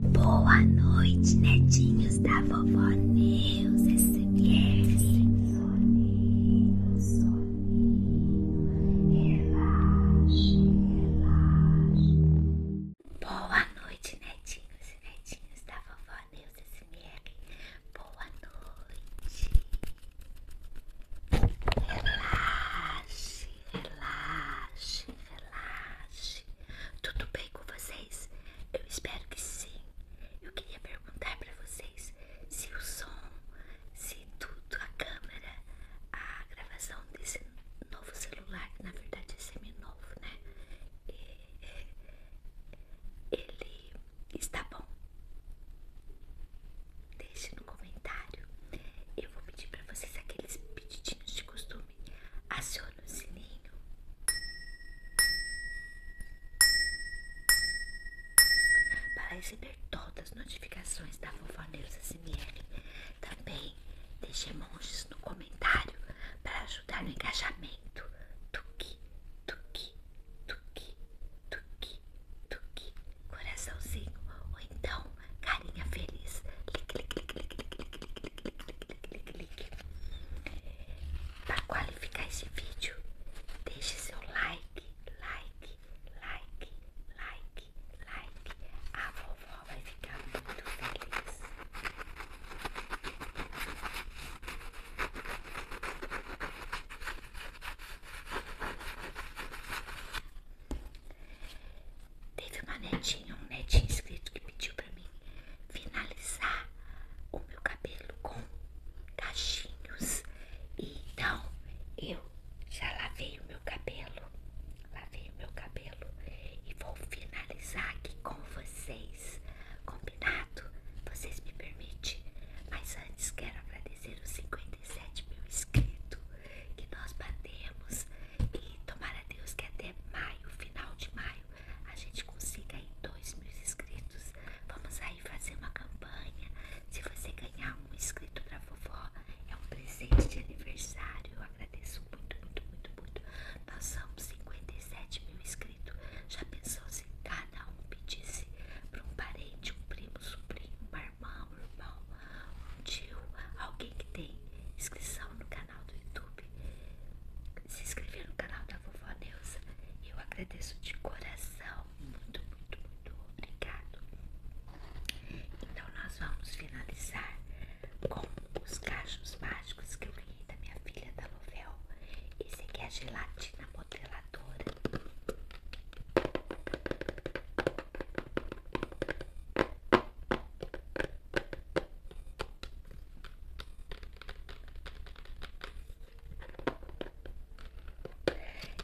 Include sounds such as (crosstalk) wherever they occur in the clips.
Boa noite, netinhos da vovó Neus SMR. É soninho, soninho, relaxe, relaxe. Boa noite, netinhos e netinhos da vovó Neus SMR. É Boa noite. Relaxe relaxe, relaxe. Tudo bem com vocês? Eu espero que sim. Eu queria perguntar para vocês se o som, se tudo, a câmera, a gravação desse novo celular, que na verdade é semi-novo, né? É, é, ele está bom. Deixe no comentário. Eu vou pedir para vocês aqueles Pedidinhos de costume, aciona o sininho. Para receber todas as notificações da Vovó Neuza SMR, também deixe emojis no comentário para ajudar no engajamento. Tuki, tuki, tuki, tuki, tuki, coraçãozinho, ou então carinha feliz. Para qualificar esse vídeo, deixe seu like, like, like, like, like. A vovó vai ficar muito feliz. Teve uma netinha, um netinho inscrito que pediu pra mim finalizar o meu cabelo com cachinhos. E então eu já lavei o meu cabelo, lavei o meu cabelo e vou finalizar aqui com vocês. Combinado? Vocês me permitem? Mas antes quero agradecer os 57 mil inscritos que nós batemos e tomara Deus que até maio, final de maio, a gente consiga aí 2 mil inscritos. Vamos aí fazer uma campanha. Se você ganhar um inscrito pra vovó, é um presente de aniversário. Eu agradeço muito, muito, muito, muito. Nós somos 57 mil inscritos. Já pensou se cada um pedisse pra um parente, um primo, um sobrinho, um irmã, meu irmão, um tio, alguém que tem inscrição no canal do YouTube, se inscrever no canal da Vovó Neuza. Eu agradeço de coração, muito, muito, muito obrigado. Então, nós vamos finalizar com os cachos mágicos que eu ganhei da minha filha da Lovel. Esse aqui é a gelatina modeladora.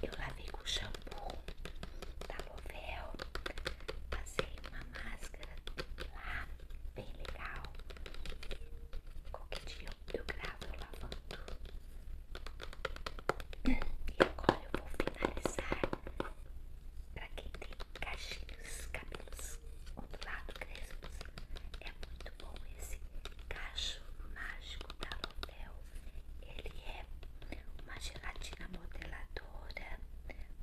Eu lavei com shampoo da Lovel, passei uma máscara lá, bem legal. Qualquer dia eu gravo lavando. E agora eu vou finalizar para quem tem cachinhos, cabelos ondulados, crespos. É muito bom esse cacho mágico da Lobel. Ele é uma gelatina modeladora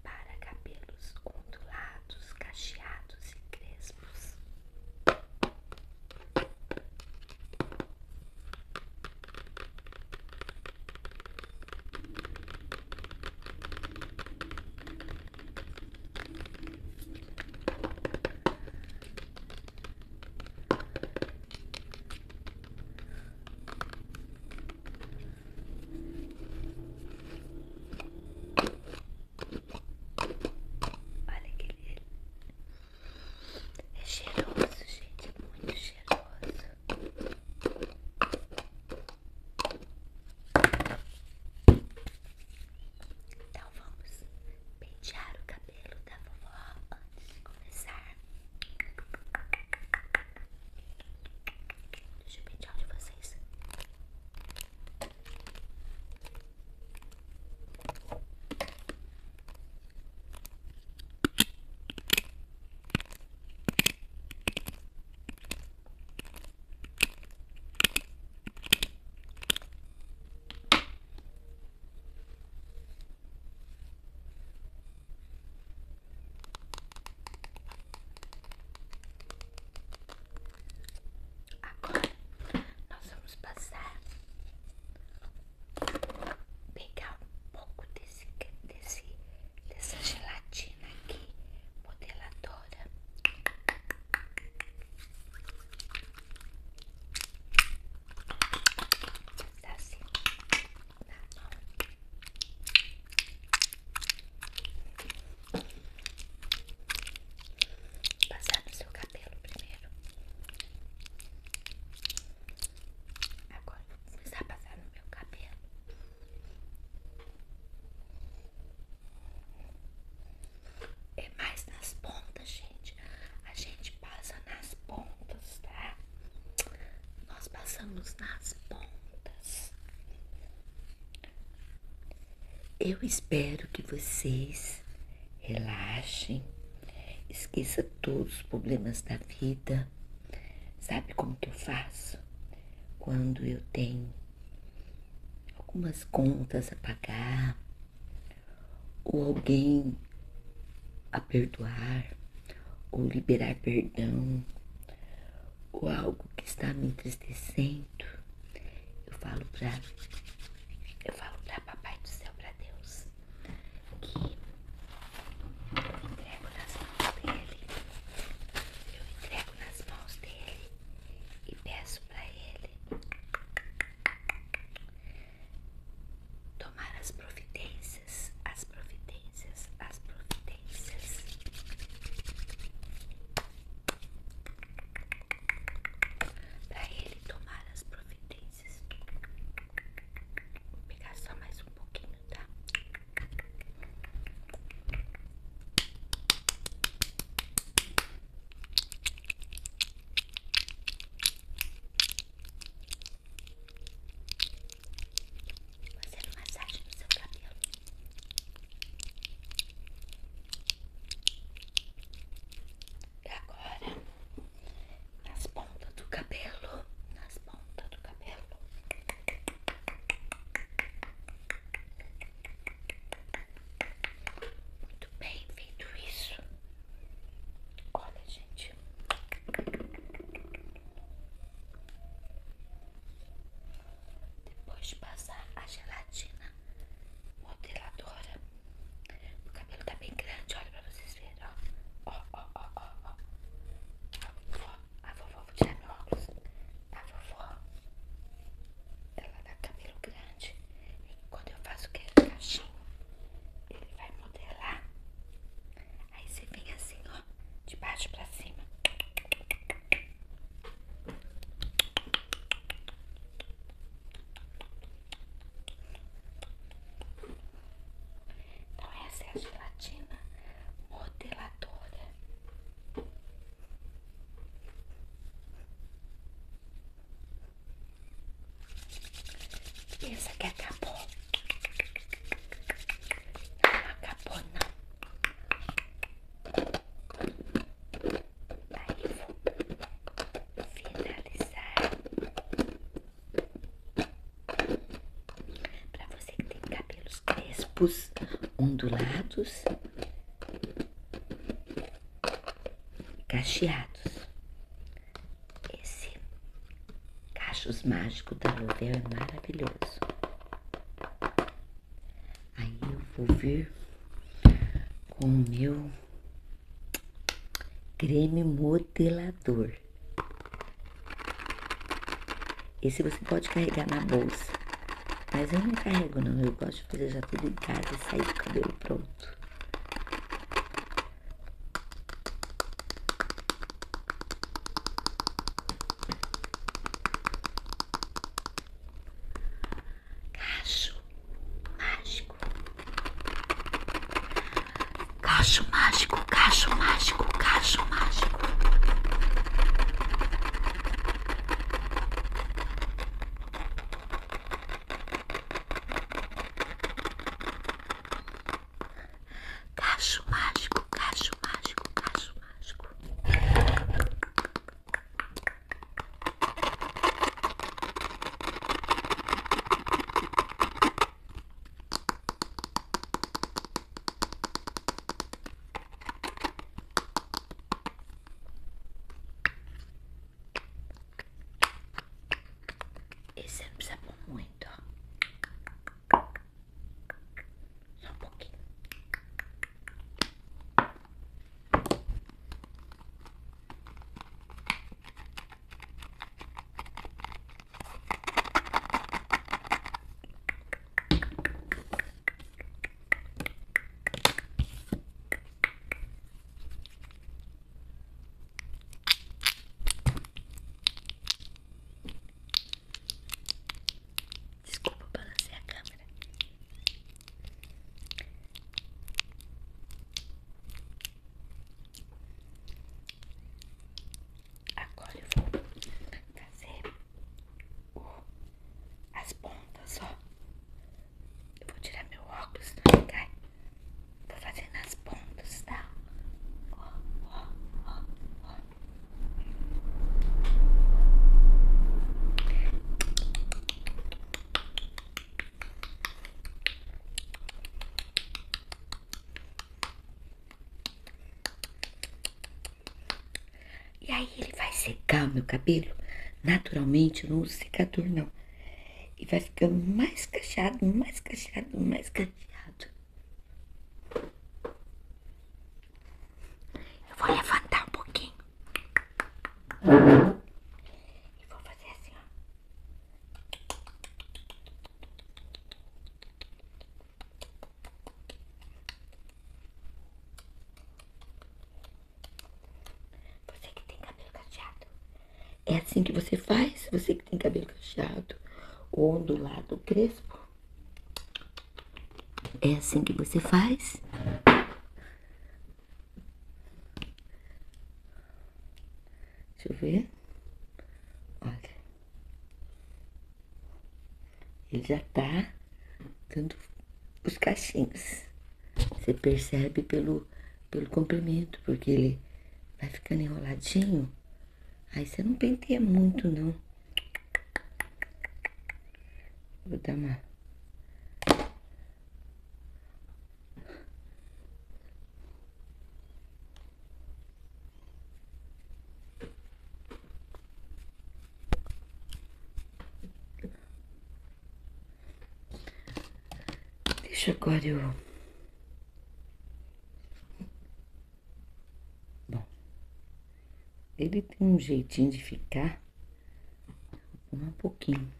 para cabelos ondulados, cacheados e crespos. Olha que lindo. É cheiroso, gente. É muito cheiroso. Então vamos pentear o cabelo da vovó antes de começar. Deixa eu pentear de vocês. Agora nós vamos passar pegar um pouco desse, desse, dessa gelatina aqui, modeladora. Tá assim, Passar no seu cabelo primeiro. Agora vou começar a passar no meu cabelo. É mais nas pontas, gente. A gente passa nas pontas, tá? Nós passamos nas pontas. Eu espero que vocês relaxem. Esqueça todos os problemas da vida. Sabe como que eu faço? Quando eu tenho algumas contas a pagar, ou alguém a perdoar, ou liberar perdão, ou algo que está me entristecendo, eu falo para eu falo para papai do céu, para Deus que eu entrego nas mãos dele. Eu entrego nas mãos dele e peço para ele tomar as providências, as providências, as providências. Para ele tomar as providências. Vou pegar só mais um pouquinho, tá? Fazendo massagem no seu cabelo. E agora nas pontas do cabelo, nas pontas do cabelo. Muito bem feito isso. Olha, gente. Depois de passar a gelatina modeladora o cabelo tá bem grande, olha pra vocês verem, ó. Ó, ó, ó, ó, ó. A vovó, vou tirar meu óculos. A vovó, ela dá cabelo grande. E quando eu faço aquele cachinho, ele vai modelar. Aí você vem assim, ó, de baixo pra cima. Então essa é a gelatina modeladora. Pensa que acabou. Não acabou não. Aí vou finalizar para você que tem cabelos crespos, ondulados, cacheados. Esse cachos mágico da Lovell é maravilhoso. Aí eu vou vir com o meu Creme modelador. Esse você pode carregar na bolsa. Mas eu não carrego não, eu gosto de fazer já tudo em casa e sair com o cabelo pronto. Cacho mágico. Cacho mágico, cacho mágico, cacho mágico. Cacho mágico, cacho mágico, cacho mágico. Esse não precisa pôr muito, ó. Só um pouquinho. Desculpa balancear a câmera. Agora eu vou fazer as pontas, ó. Eu vou tirar meu óculos, não tá? cai. Vou fazer nas pontas, tá? E aí ele vai secar o meu cabelo. Naturalmente, eu não uso secador, não. E vai ficando mais cacheado, mais cacheado, mais cacheado. Eu vou levantar um pouquinho. E vou fazer assim, ó. Você que tem cabelo cacheado. É assim que você faz? Você que tem cabelo cacheado ou ondulado crespo. É assim que você faz? Deixa eu ver. Olha. Ele já tá dando os cachinhos. Você percebe pelo, pelo comprimento, porque ele vai ficando enroladinho. Aí você não penteia muito, não. Vou dar uma... Deixa agora eu... Bom, ele tem um jeitinho de ficar um pouquinho.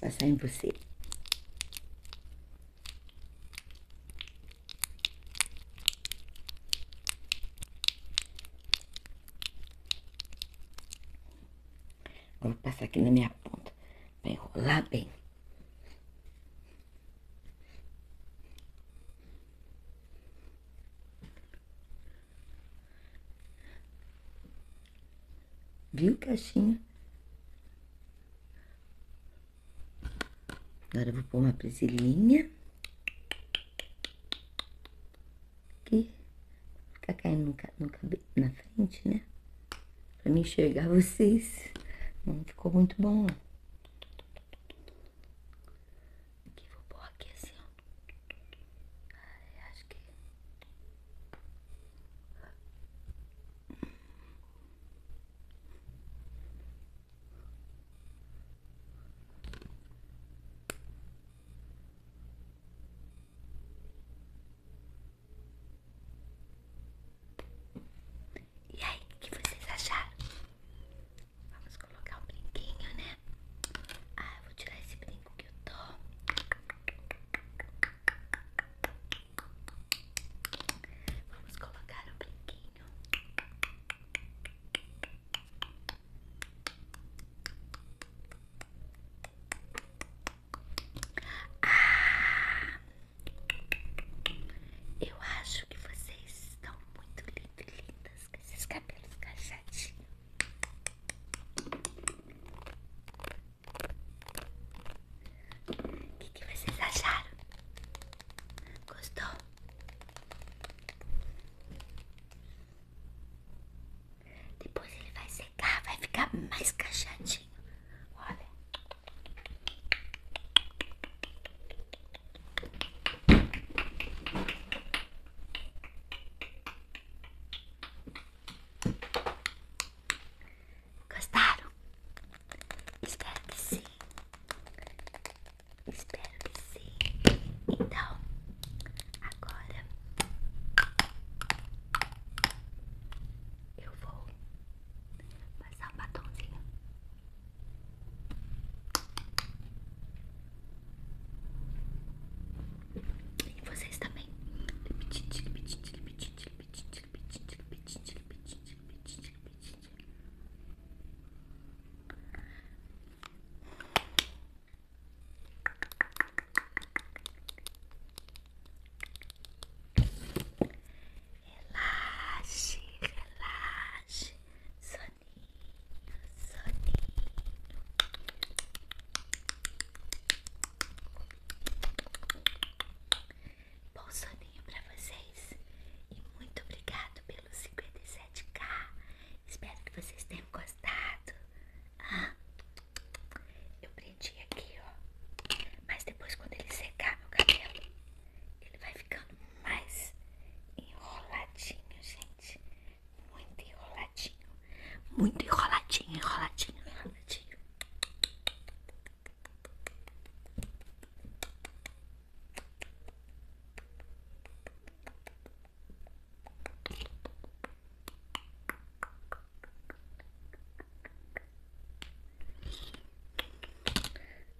Passar (laughs) em você. Vou passar aqui na minha ponta para enrolar bem. Viu, caixinha? Agora vou pôr uma presilhinha. Aqui. Ficar caindo no, cabelo, na frente, né? Pra me enxergar vocês. Não ficou muito bom, não. Aqui, vou pôr aqui assim, ó. acho que... E aí, o que vocês acharam? Vamos colocar um brinquinho, né? Ah, eu vou tirar esse brinco que eu tô. Vamos colocar um brinquinho. Ah, eu acho que vocês estão muito lindas, lindas com esses cabelos cachadinhos. O que, que vocês acharam? Gostou? Depois ele vai secar, vai ficar mais cachadinho. Olha. Gostaram? Espero que sim. Espero que sim. Então, agora eu vou passar um batomzinho. E vocês também. Relaxe, relaxe, soninho, soninho. Bom soninho para vocês e muito obrigado pelos sete. 7K. Espero que vocês tenham gostado. Ah, eu prendi aqui, ó. Mas depois, quando ele secar meu cabelo, ele vai ficando mais enroladinho, gente. Muito enroladinho. Muito enroladinho, enroladinho, enroladinho.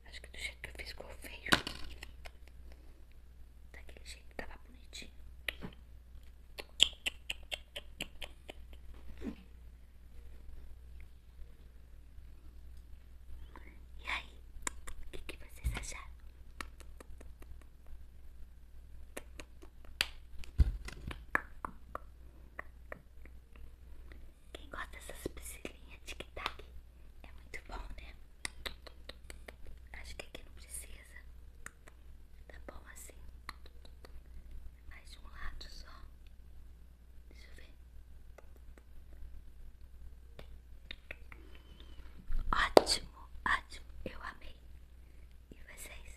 Acho que do jeito que eu fiz ficou feio. Daquele jeito que tava bonitinho. E aí, o que, vocês acharam? Quem gosta dessas de que tic aqui é muito bom, né? Acho que aqui não precisa. Tá bom assim. Mais de um lado só. Deixa eu ver. Ótimo, ótimo, eu amei. E vocês?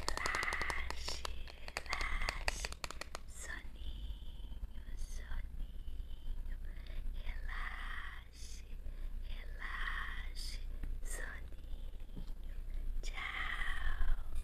Relaxe, relaxe, soninho, soninho, relaxe, relaxe, soninho. Tchau.